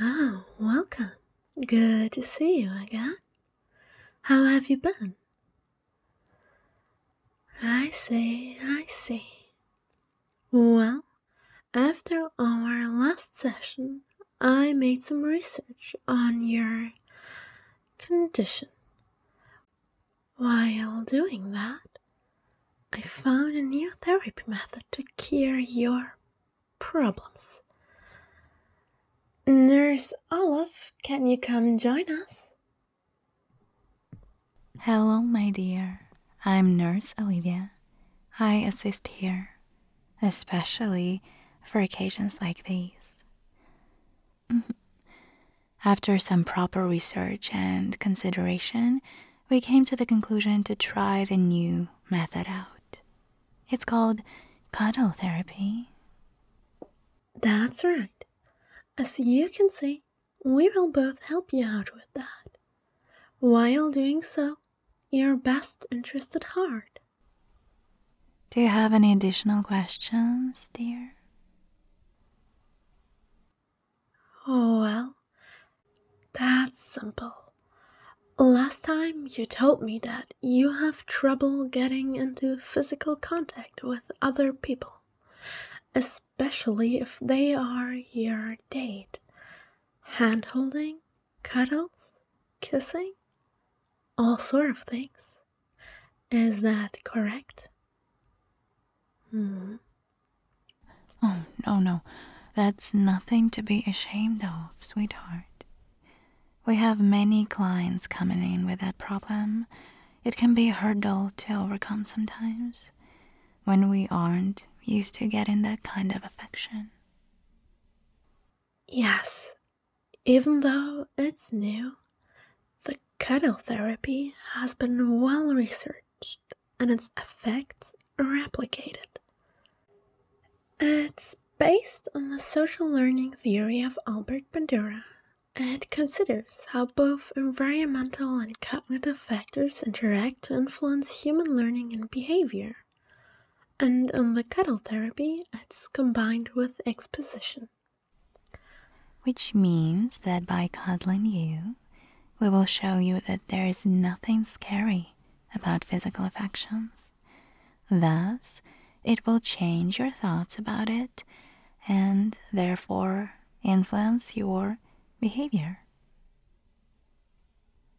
Oh, welcome. Good to see you again. How have you been? I see, I see. Well, after our last session, I made some research on your condition while doing that, I found a new therapy method to cure your problems. Nurse Olaf, can you come join us? Hello, my dear. I'm Nurse Olivia. I assist here, especially for occasions like these. Mm-hmm. After some proper research and consideration, we came to the conclusion to try the new method out. It's called cuddle therapy. That's right. As you can see, we will both help you out with that. While doing so, your best interest at heart. Do you have any additional questions, dear? Oh, well, that's simple. Last time you told me that you have trouble getting into physical contact with other people, especially if they are your date. Hand holding, cuddles, kissing, all sort of things. Is that correct? Hmm. Oh, no, no. That's nothing to be ashamed of, sweetheart. We have many clients coming in with that problem. It can be a hurdle to overcome sometimes when we aren't used to getting that kind of affection. Yes, even though it's new, the cuddle therapy has been well researched and its effects replicated. It's based on the social learning theory of Albert Bandura and considers how both environmental and cognitive factors interact to influence human learning and behavior. And in the cuddle therapy, it's combined with exposition. Which means that by cuddling you, we will show you that there is nothing scary about physical affections. Thus, it will change your thoughts about it and therefore influence your behavior.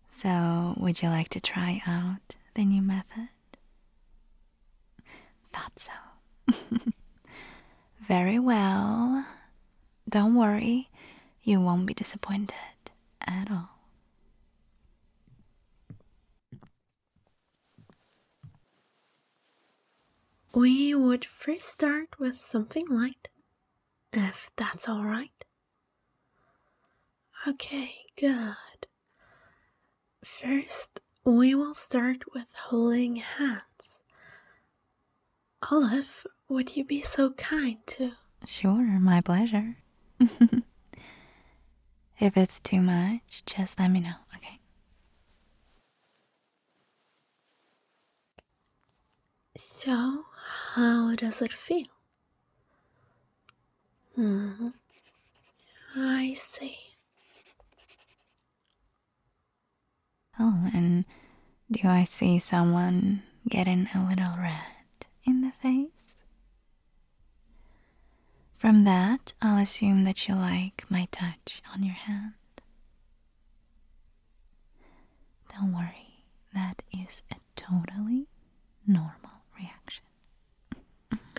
So, would you like to try out the new method? Thought so. Very well. Don't worry, you won't be disappointed at all. We would first start with something light, if that's alright. Okay, good. First, we will start with holding hands. Olive, would you be so kind to? Sure, my pleasure. if it's too much, just let me know, okay? So, how does it feel? Hmm, I see. Oh, and do I see someone getting a little red in the face? From that, I'll assume that you like my touch on your hand. Don't worry, that is a totally normal reaction.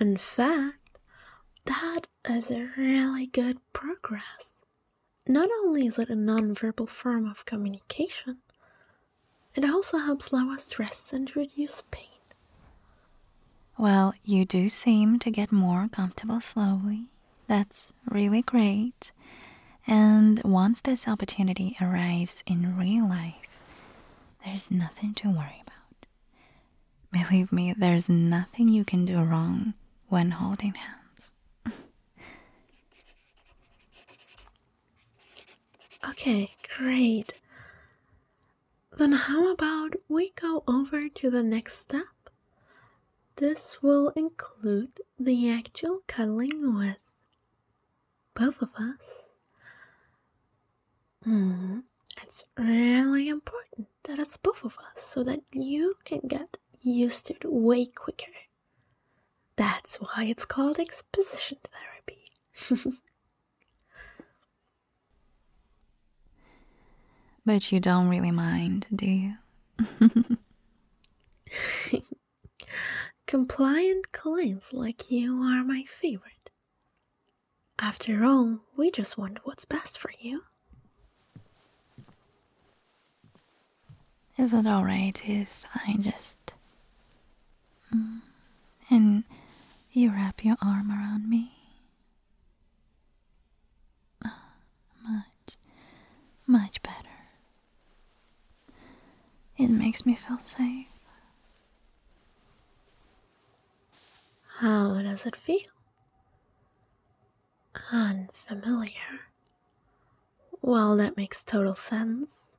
In fact, that is a really good progress. Not only is it a non-verbal form of communication, it also helps lower stress and reduce pain. Well, you do seem to get more comfortable slowly. That's really great. And once this opportunity arrives in real life, there's nothing to worry about. Believe me, there's nothing you can do wrong when holding hands. okay, great. Then, how about we go over to the next step? This will include the actual cuddling with both of us. Mm-hmm. it's really important that it's both of us so that you can get used to it way quicker. That's why it's called exposition therapy. but you don't really mind, do you? Compliant clients like you are my favorite. After all, we just want what's best for you. Is it alright if I just. Mm, and you wrap your arm around me? Ah, much, much better. It makes me feel safe. How does it feel? Unfamiliar. Well, that makes total sense.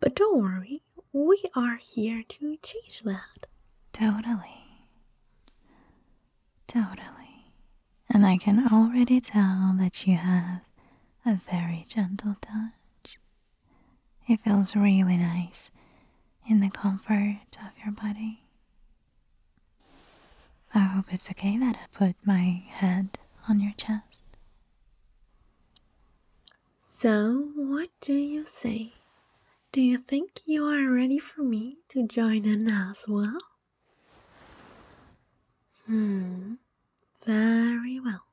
But don't worry, we are here to change that. Totally. Totally. And I can already tell that you have a very gentle touch. It feels really nice in the comfort of your body. I hope it's okay that I put my head on your chest. So, what do you say? Do you think you are ready for me to join in as well? Hmm, very well.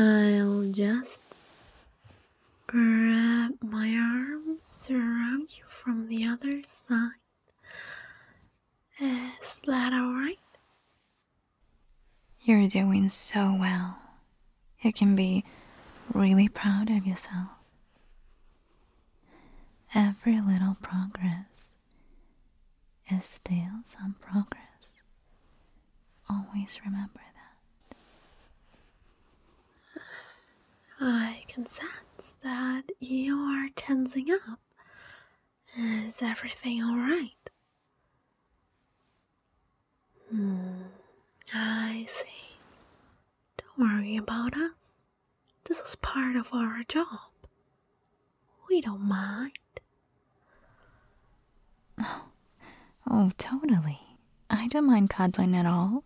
I'll just wrap my arms around you from the other side. Is that alright? You're doing so well. You can be really proud of yourself. Every little progress is still some progress. Always remember that. I can sense that you are tensing up. Is everything alright? Hmm, I see. Don't worry about us. This is part of our job. We don't mind. Oh, oh totally. I don't mind cuddling at all.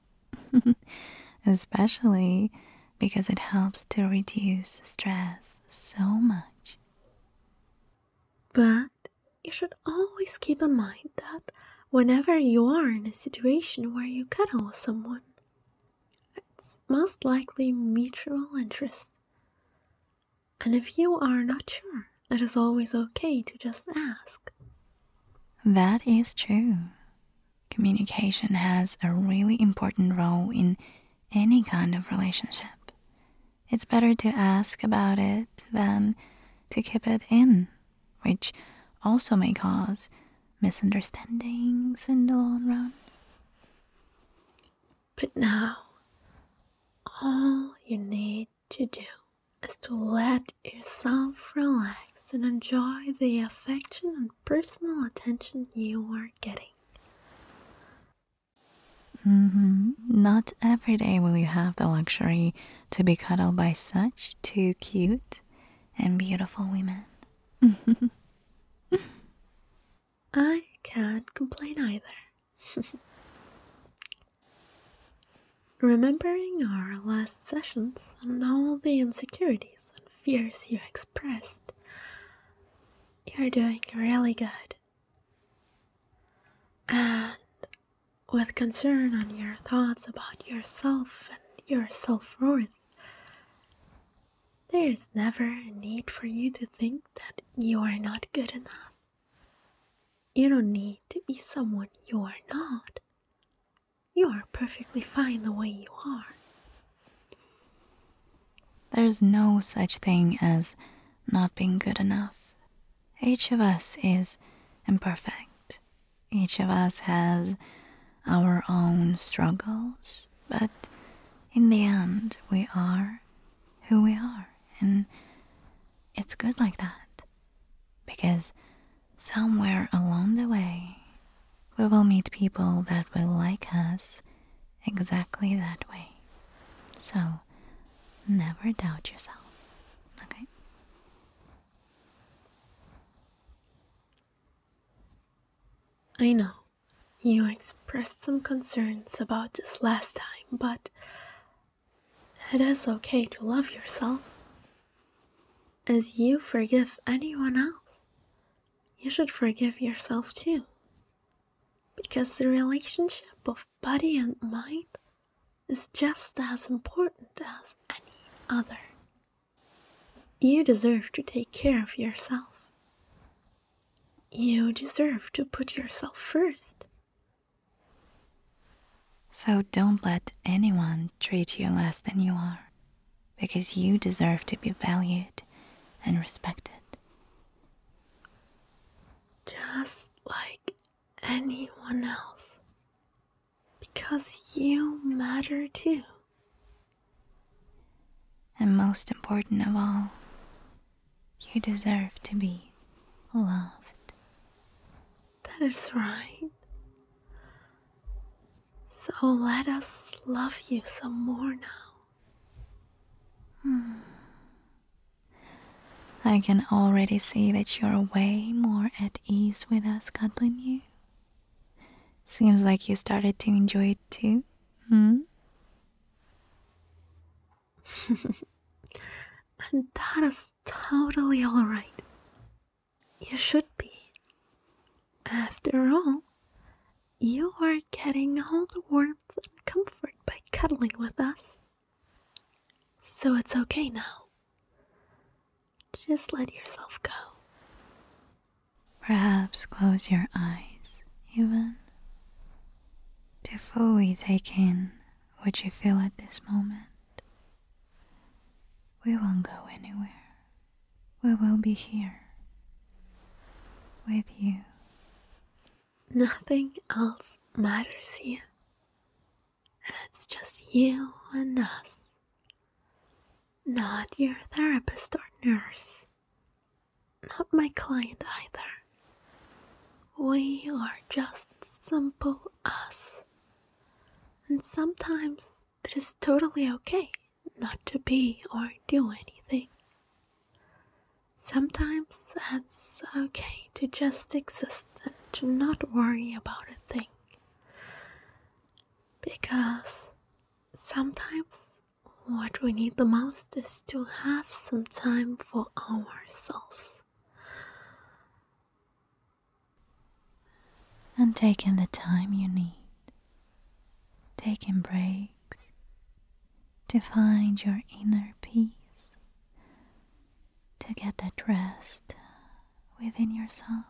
Especially because it helps to reduce stress so much. But you should always keep in mind that whenever you are in a situation where you cuddle with someone, it's most likely mutual interest. And if you are not sure, it is always okay to just ask. That is true. Communication has a really important role in any kind of relationship. It's better to ask about it than to keep it in, which also may cause misunderstandings in the long run. But now, all you need to do is to let yourself relax and enjoy the affection and personal attention you are getting. Mm-hmm. Not every day will you have the luxury to be cuddled by such two cute and beautiful women. I can't complain either. Remembering our last sessions and all the insecurities and fears you expressed, you're doing really good. And with concern on your thoughts about yourself and your self worth, there is never a need for you to think that you are not good enough. You don't need to be someone you are not. You are perfectly fine the way you are. There's no such thing as not being good enough. Each of us is imperfect. Each of us has our own struggles, but in the end, we are who we are. And it's good like that. Because somewhere along the way, we will meet people that will like us exactly that way. So never doubt yourself. Okay? I know. You expressed some concerns about this last time, but it is okay to love yourself. As you forgive anyone else, you should forgive yourself too. Because the relationship of body and mind is just as important as any other. You deserve to take care of yourself. You deserve to put yourself first. So don't let anyone treat you less than you are, because you deserve to be valued and respected. Just like anyone else, because you matter too. And most important of all, you deserve to be loved. That is right. So let us love you some more now. Hmm. I can already see that you're way more at ease with us cuddling you. Seems like you started to enjoy it too, hmm? and that is totally alright. You should be. After all, you are getting all the warmth and comfort by cuddling with us. So it's okay now. Just let yourself go. Perhaps close your eyes, even, to fully take in what you feel at this moment. We won't go anywhere. We will be here with you. Nothing else matters here. It's just you and us. Not your therapist or nurse not my client either. We are just simple us. And sometimes it is totally okay not to be or do anything. Sometimes it's okay to just exist and to not worry about a thing. Because sometimes what we need the most is to have some time for ourselves. And taking the time you need, taking breaks to find your inner peace, to get that rest within yourself,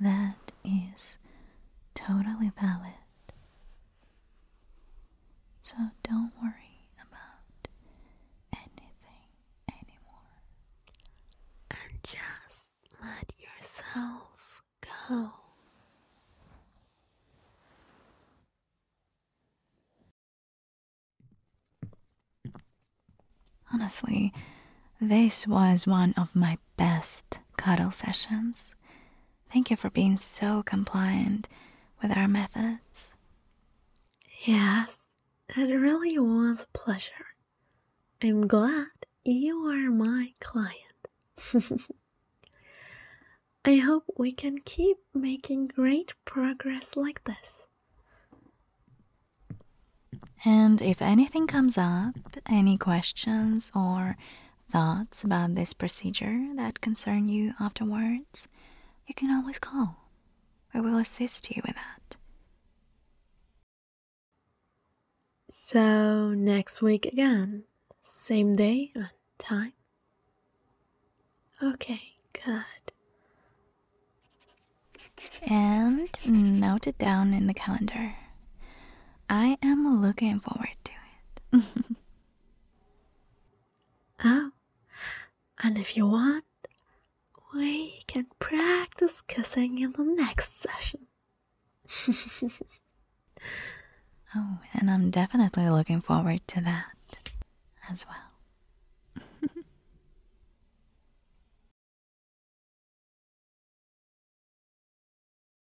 that is totally valid so don't worry about anything anymore. And just let yourself go. Honestly, this was one of my best cuddle sessions. Thank you for being so compliant with our methods. Yes, it really was a pleasure. I'm glad you are my client. I hope we can keep making great progress like this. And if anything comes up, any questions or thoughts about this procedure that concern you afterwards, you can always call. We will assist you with that. So, next week again, same day and time. Okay, good. And note it down in the calendar. I am looking forward to it. oh, and if you want, we can practice kissing in the next session. oh, and I'm definitely looking forward to that as well.